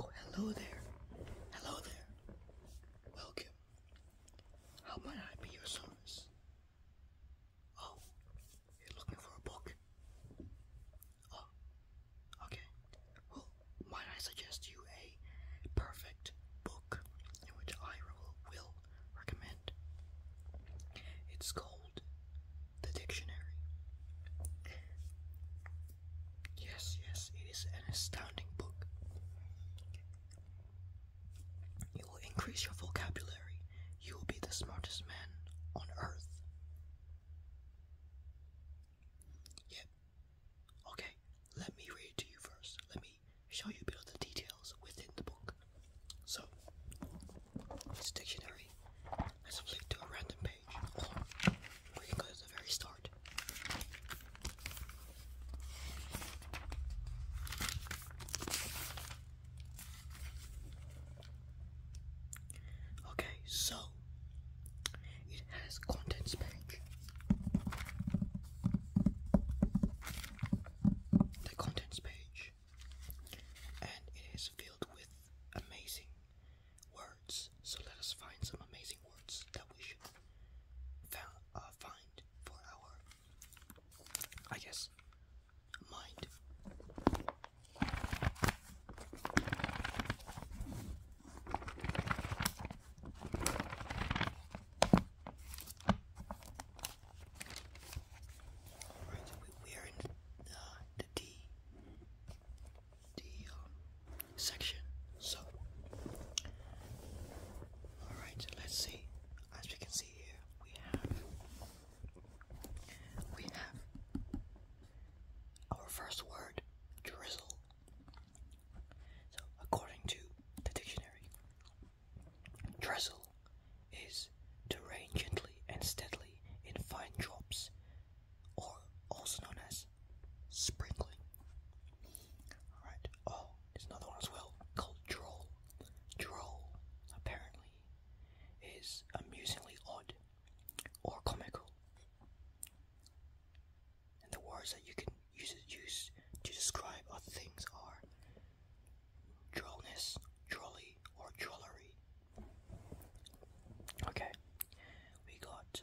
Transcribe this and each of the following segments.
Oh, hello there. Hello there. Welcome. How might I be your service? Oh, you're looking for a book? Oh, okay. Well, might I suggest you a perfect book which I will recommend? It's called the dictionary. Yes, yes, it is an astounding book. You will increase your vocabulary. You will be the smartest man on earth. Yep. Okay, let me read to you first. Let me show you a bit of the details within the book. So, this dictionary has a link to a random page, or can go to the very start. Okay, so it has contents page the contents page, and it is filled with amazing words. So let us find some amazing words that we should uh, find for our, I guess, mind. Alright, so we, we are in the, uh, the um, section. So, alright, let's see. As we can see here, we have we have our first word, drizzle. So, according to the dictionary, drizzle is to rain gently and steadily in fine drops, or also known as sprinkling. Alright, oh, there's another one as well called droll. Droll, apparently, is amusingly odd or comical. And the words that you can use, use to describe other things are drollness, drolly, or drollery. Okay, we got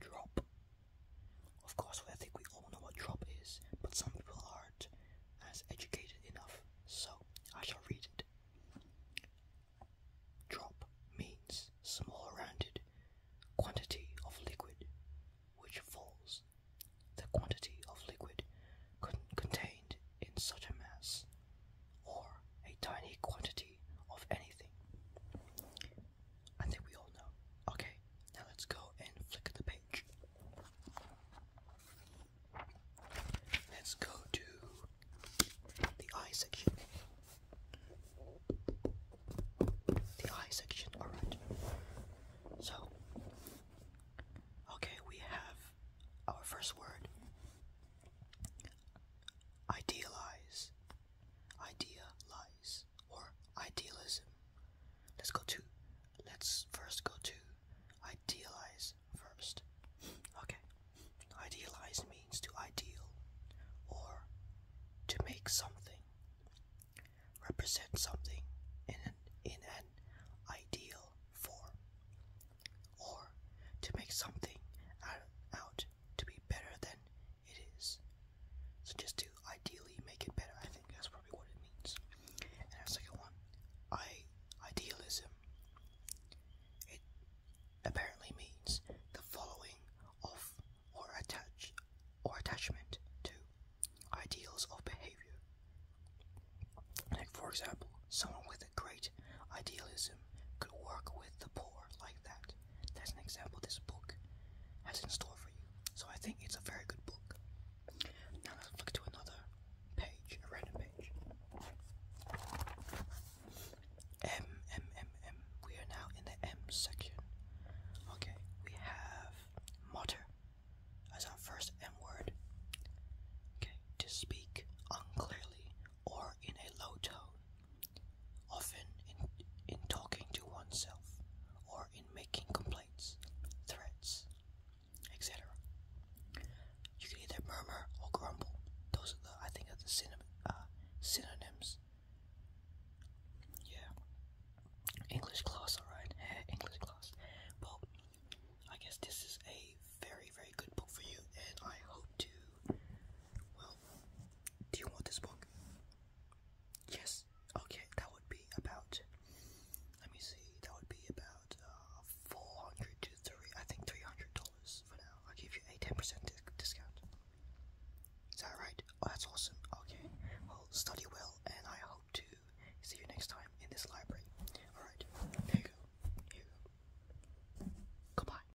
drop. Of course, I think we all know what drop is, but some people aren't as educated enough, so I shall read it. Drop means small rounded quantity of liquid which falls. The quantity of liquid contained in such a mass, or a tiny quantity of anything. I think we all know. Okay, now let's go and flick the page. Let's go to the eye section. The eye section, alright. So, okay, we have our first word idealize, idealize, or idealism. Let's go to, let's first go to Idealize first. Okay. Idealize means to ideal or to make something. Represent something in an, in an ideal form. Or to make something out, out to be better than it is. So just to ideally make it better that's probably what it means. And our second one, I idealism. It apparently means the following of or attach or attachment to ideals of behavior. Like for example, someone with a great idealism could work with the poor like that. That's an example this book has in store for you. So I think it's a very good book. Now let's flick to another page, random page. M, M, M, M. We are now in the M section. Okay, we have mutter as our first M word. Okay, to speak unclearly or in a low tone, often in, in talking to oneself or in making complaints, threats, etc. You can either murmur or grumble. Those are the, I think, are the uh, synonyms. Yeah. English class, alright. English class. Well, I guess this is a very, very good book for you, and I hope to. Well, do you want this book? Yes. Okay, that would be about. Let me see. That would be about uh, four hundred to three. I think three hundred dollars for now. I'll give you a ten percent discount. Is that right? Oh, that's awesome. Okay. Well, study well, and I hope to see you next time in this library. All right. There you go. Here you go. Goodbye.